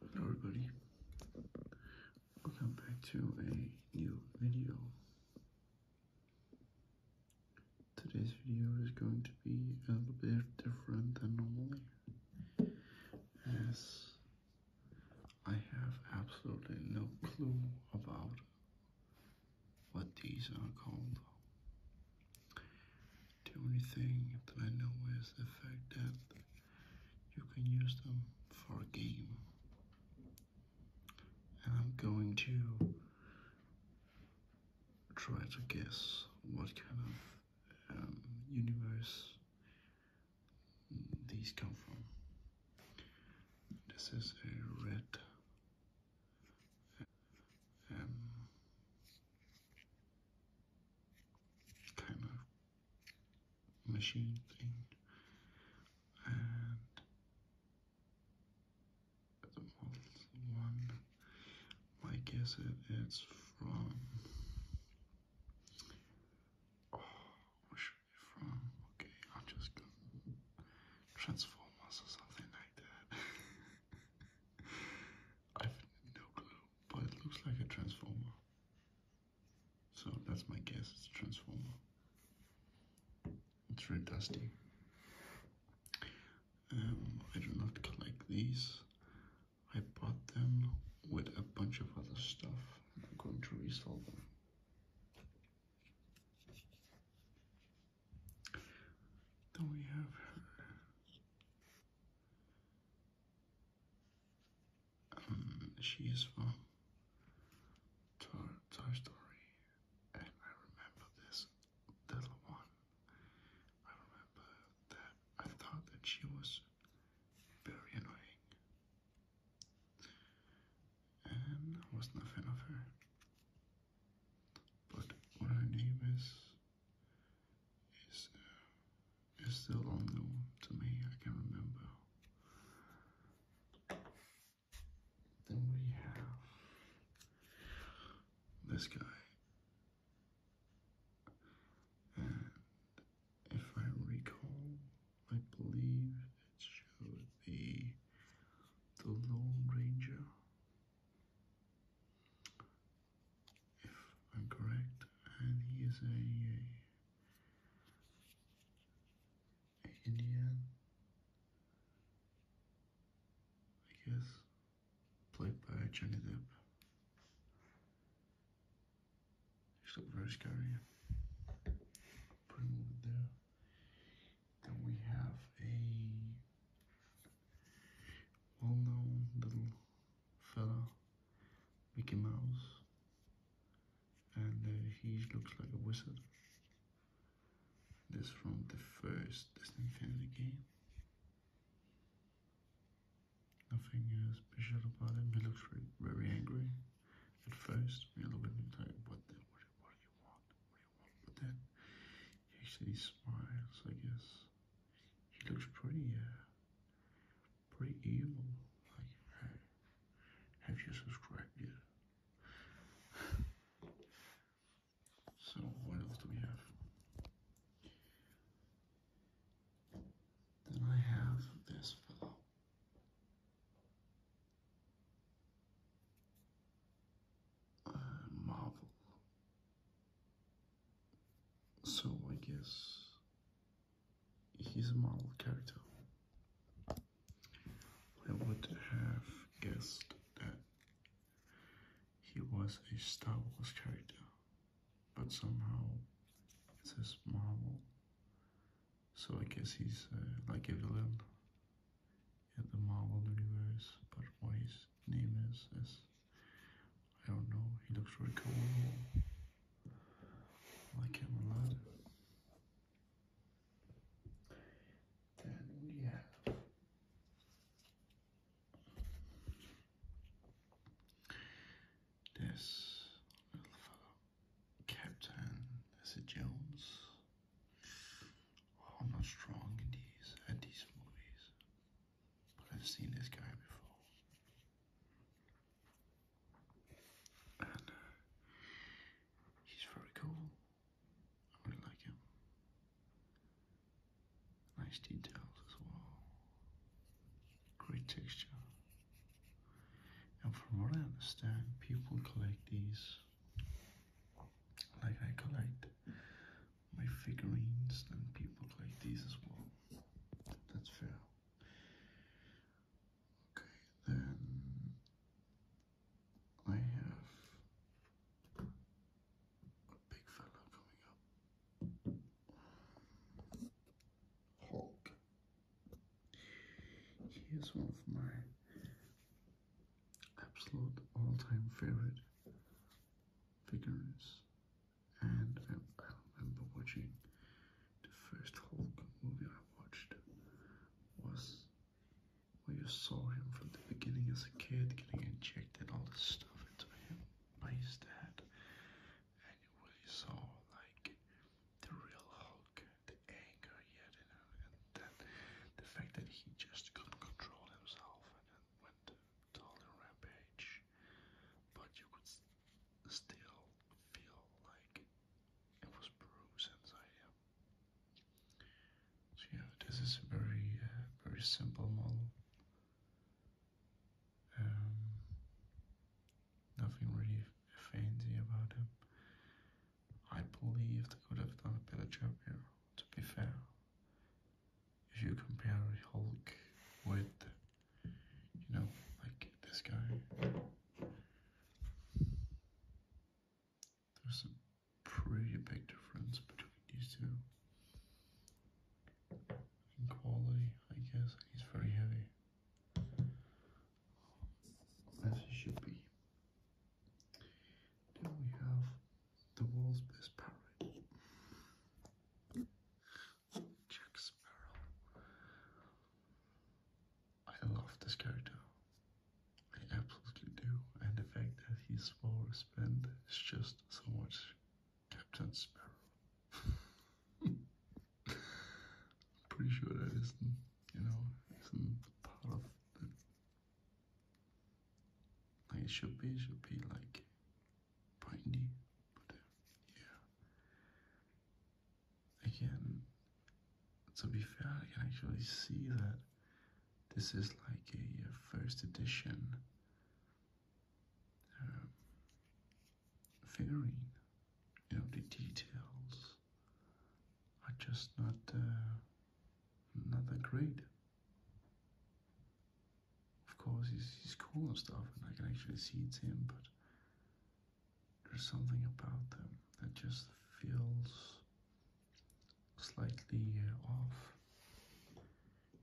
Hello everybody, welcome back to a new video. Today's video is going to be a little bit different than normally, as I have absolutely no clue about what these are called. The only thing that I know is the fact that you can use them for a game. And I'm going to try to guess what kind of um, universe these come from. This is a red um, kind of machine thing, and the model one. I guess it is from. Oh, where should be from? Okay, I'm just going or something like that. I've no clue, but it looks like a transformer. So that's my guess, it's a Transformer. It's very dusty. Um, I do not collect these. I bought them with a bunch of other stuff. And I'm going to resell them. Then we have um, she is from Toy Story, and I remember this little one. I remember that I thought that she was very annoying, and I wasn't fan of her. But what her name is is uh, it's still unknown to me, I can not remember. Then we have this guy. And if I recall, I believe it should be the Lone Ranger. If I'm correct, and he is a Indian, I guess, played by Johnny Depp. She looked very scary. Put him over there. Then we have a well-known little fellow. Mickey Mouse, and uh, he looks like a wizard. This from the first Disney Infinity game. Nothing uh, special about him. He looks very, angry at first. A little bit like, what do you want? But then he actually smiles, I guess. He looks pretty. Uh, pretty evil. Like, have you subscribed yet? so, what else do we have? Then I have this fellow. Uh, Marvel. So I guess he's a model character. I would have guessed that he was a Star Wars character, but somehow it says Marvel, so I guess he's uh, like a villain in the Marvel universe. But what his name is, is I don't know. He looks really cool my camera live. Then you have this little fellow, Captain, is Jones? I'm not strong in these at these movies, but I've seen this guy before. Uh, he's very cool. I really like him. Nice details as well. Great texture. And from what I understand, people collect these like I collect my figurines, then people collect these as well. That's fair. Okay, then I have a big fella coming up. Hulk. He is one of my absolute all-time favorite figures, and I, I remember watching the first Hulk movie I watched was where you saw him from the beginning as a kid getting injected all this stuff into him by his dad. And you really saw like the real Hulk, the anger he had in him, and then the fact that he just couldn't control himself and went to the rampage. But you could still feel like it was bruised inside him. Uh, so yeah, this is a very, uh, very simple model. Um, nothing really fancy about it. I believe they could have done a better job here, to be fair. If you compare Hulk with you know, like this guy. There's a pretty big difference between these two. In quality, I guess. He's very heavy. As he should be. Then we have the world's best parrot. Jack Sparrow. I love this character. I absolutely do, and the fact that he's always spent is just so much Captain Sparrow. pretty sure that isn't, you know, isn't part of Like it should be, should be like bindy, but uh, yeah. Again, to be fair, I can actually see that this is like a, first edition uh, figurine. You know, the details are just not, uh, not that great. Of course, he's, he's cool and stuff, and I can actually see it's him, but there's something about them that just feels slightly uh, off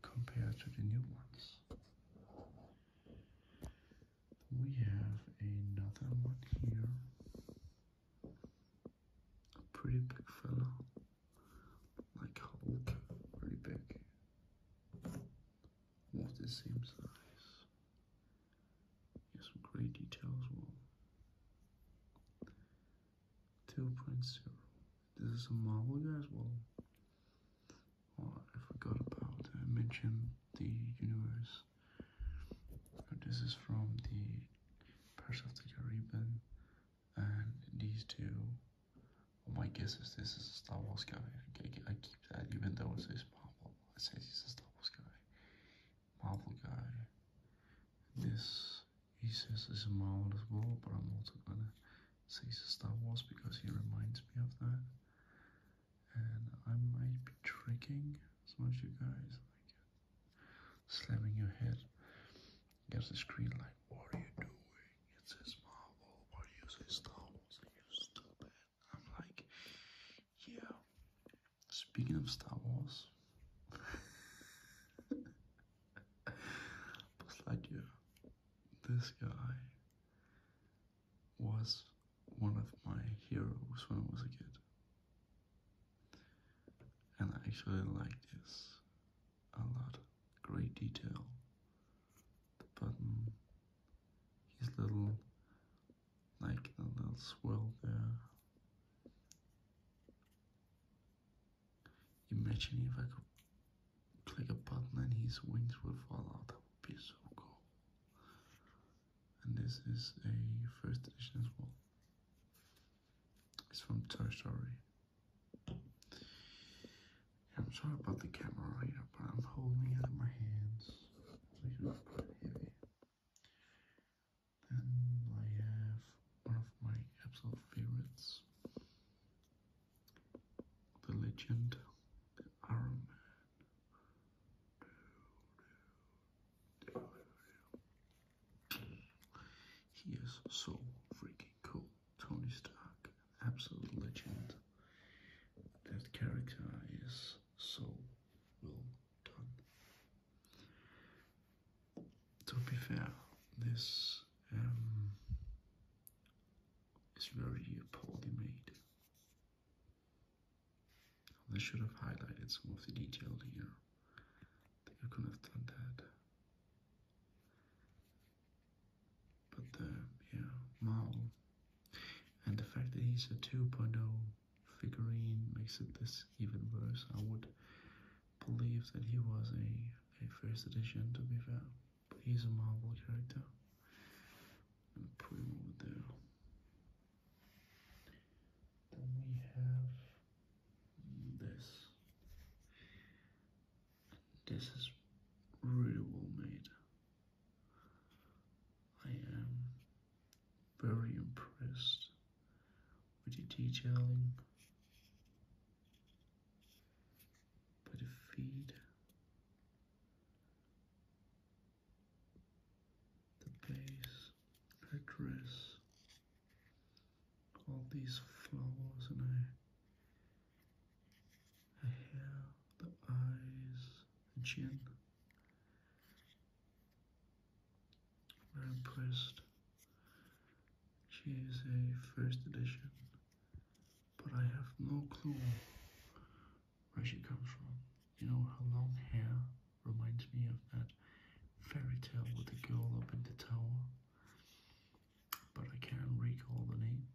compared to the new ones. We have another one here. A pretty big fella. Like Hulk. Pretty big almost the same size. Here's some great details, as well. 2.0. This is a model as well. I forgot about, I mentioned the universe. This is from the Pirates of the Caribbean and these two. my guess is this is a Star Wars guy. I keep that even though it says Marvel. It says he's a Star Wars guy, Marvel guy. This he says is a Marvel as well, but I'm also gonna say he's a Star Wars because he reminds me of that. And I might be tricking some of you guys, like slamming your head against the screen, like, what are you doing? It's a Marvel. Why are you say Star Wars? Are you stupid? I'm like, yeah. Speaking of Star Wars, Buzz Lightyear, this guy was one of my heroes when I was a kid. And I actually like this a lot. Great detail. The button, his little like a little swirl there. Imagine if I could click a button and his wings would fall out, that would be so cool. And this is a first edition as well. It's from Toy Story. I'm sorry about the camera right now, but I'm holding it in my hands. It's quite heavy. Then I have one of my absolute favorites, the legend, Iron Man. He is so freaking cool. Tony Stark, absolute legend. That character is so done. To be fair, this um, is very poorly made. They should have highlighted some of the detail here. They could have done that. But uh, yeah, Mao and the fact that he's a 2.0 figurine makes it this even worse. I would believe that he was a, a first edition to be fair, but he's a Marvel character. And put him over there. Then we have this. This is really well made. I am very impressed with the detailing, by the feet, the base, her dress, all these flowers and her, her hair, the eyes, the chin. We're impressed. She is a first edition, but I have no clue where she comes from. You know, her long hair reminds me of that fairy tale with the girl up in the tower, but I can't recall the name.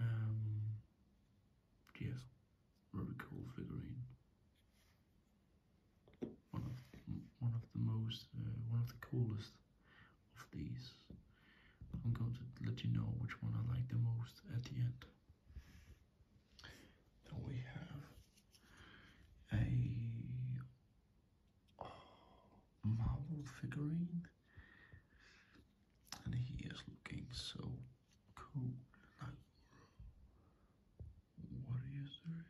Um, yes, very cool figurine. One of one of the most uh, one of the coolest of these. I'm going to let you know which one I like the most at the end. we have a oh, marble figurine, and he is looking so cool. Like, what do you say?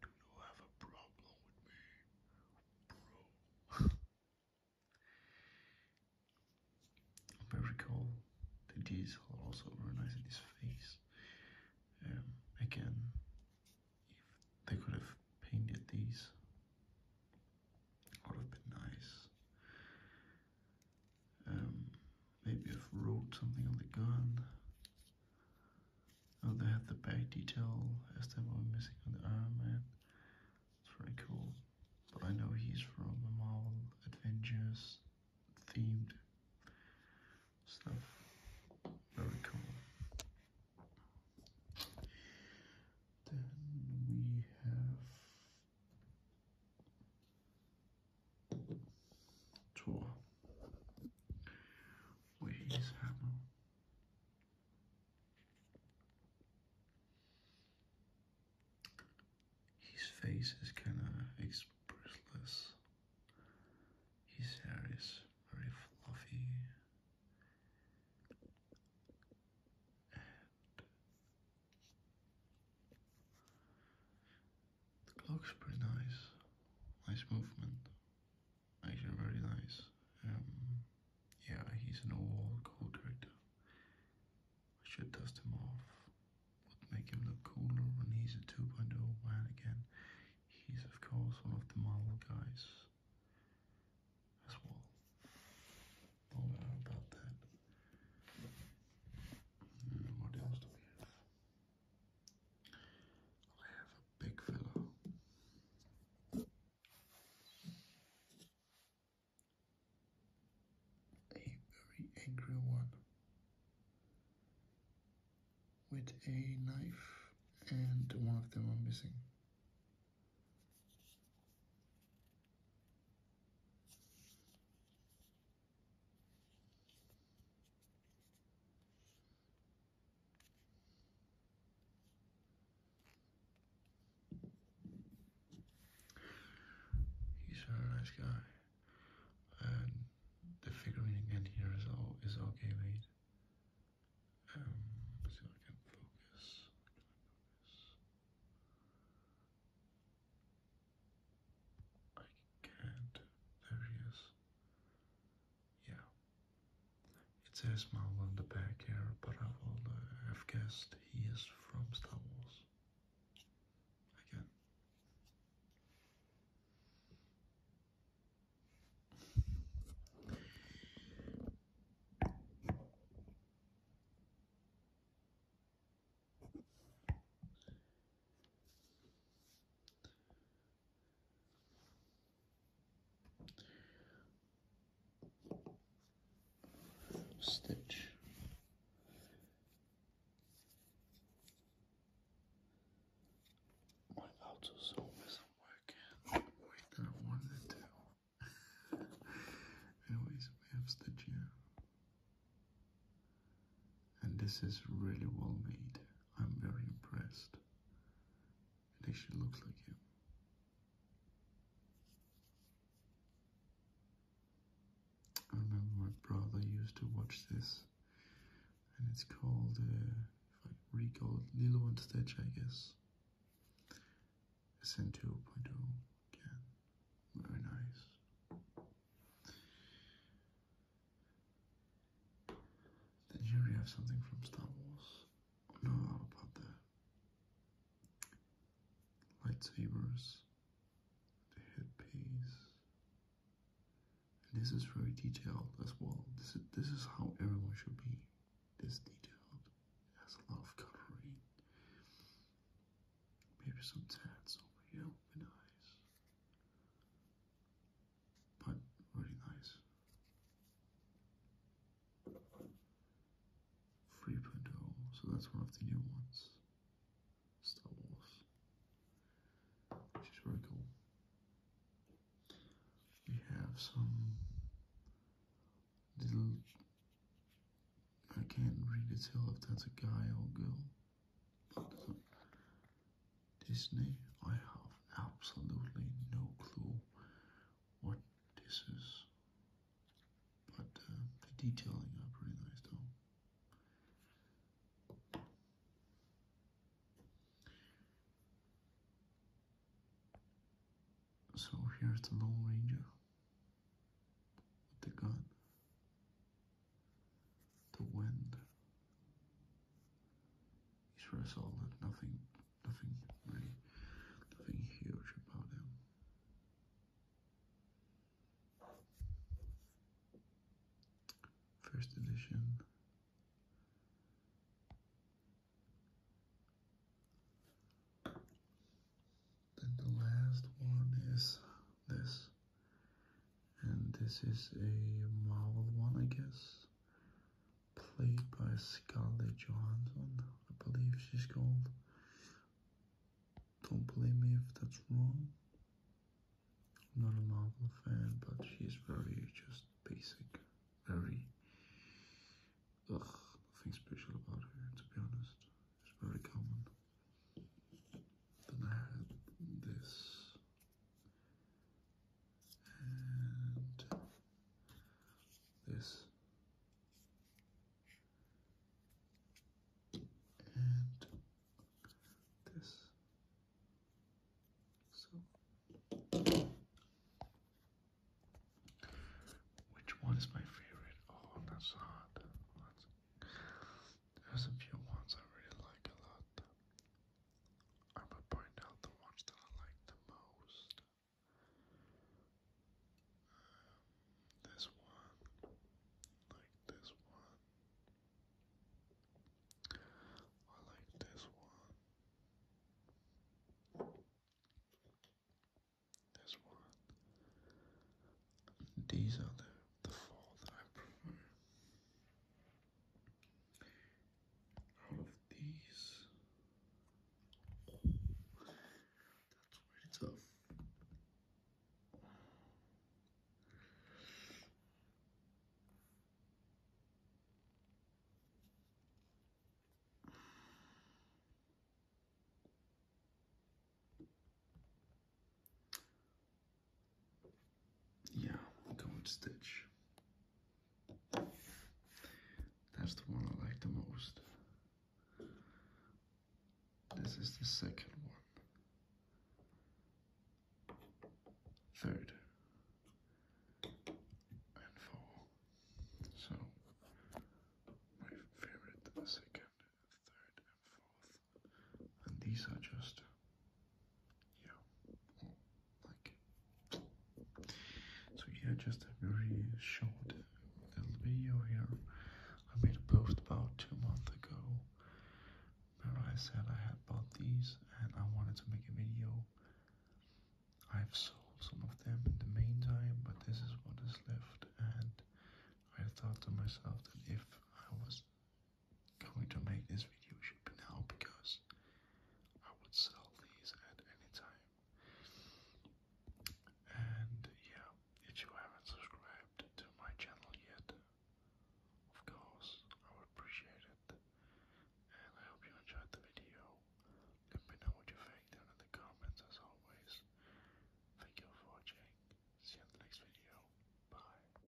Do you have a problem with me, bro? Very cool. The D's are also very nice in his face. Um, again, if they could have painted these, would have been nice. Um, maybe I've wrote something on the gun. Oh, they had the back detail as they were missing on the Iron Man. It's very cool. But I know he's from the Marvel Adventures themed stuff. Very cool. Then we have tool, which is His face is kind of expressless. His hair is very fluffy. The clock's pretty nice, nice movement, actually very nice. Um, yeah, he's an overall cool character. I should dust him off, would make him look cooler when he's a 2.0 man again. He's of course one of the model guys as well. Don't about that what else do we have? I have a big fellow. A very angry one with a knife, and one of them are missing. He's a very nice guy, and the figurine again here is all is okay made. Um, see if I can focus? I can't. There he is. Yeah. It says Mal on the back here, but I uh, have guessed he is from Star Wars. Again stitch my AutoZone isn't working the way that I it to. Anyways, we have stitch here. And this is really well made. I'm very impressed. It actually looks like him. I remember my brother used to watch this, and it's called, uh, if I recall, Lilo and Stitch, I guess. SN 2.0 again, very nice. Then here we have something from Star Wars? Oh, about the lightsabers, the headpiece. this is very detailed as well. This is this is how everyone should be. This detailed. It has a lot of coloring. Maybe some tats over here would nice. But really nice. 3.0, so that's one of the new ones. Star Wars. Which is very cool. We have some little I can't really tell if that's a guy or a girl. Disney, I have absolutely no clue what this is, but uh, the detailing are pretty nice though. So here's the Lone Ranger with the gun the wind. He's very solid, nothing, nothing really, nothing huge about him. First edition. Then the last one is this. And this is a Marvel one, I guess. Played by Scarlett Johansson, I believe she's called. Don't believe me if that's wrong. I'm not a Marvel fan, but she's very just basic. Very. Ugh, nothing special about her, to be honest. It's very common. Then I had this. And this. And this. So, which one is my favorite? Oh, that's hard. There's a few ones I really like a lot. I would point out the ones that I like the most. Um, this one, like this one. I like this one. This one. These are the fall that I prefer. Out of these, that's really tough. Yeah, we'll go with Stitch. That's the one I like the most. This is the second one, third, And four. So, my favorite, second, third, and fourth and these are just yeah, like so. Yeah, just a very short little video here. I made a post about two months ago where I said I had bought these and I wanted to make a video. I've sold some of them in the meantime, but this is what is left, and I thought to myself that if I was going to make this video should now because I would sell these at any time. And yeah, if you haven't subscribed to my channel yet, of course, I would appreciate it. And I hope you enjoyed the video. Let me know what you think down in the comments as always. Thank you for watching. See you in the next video. Bye.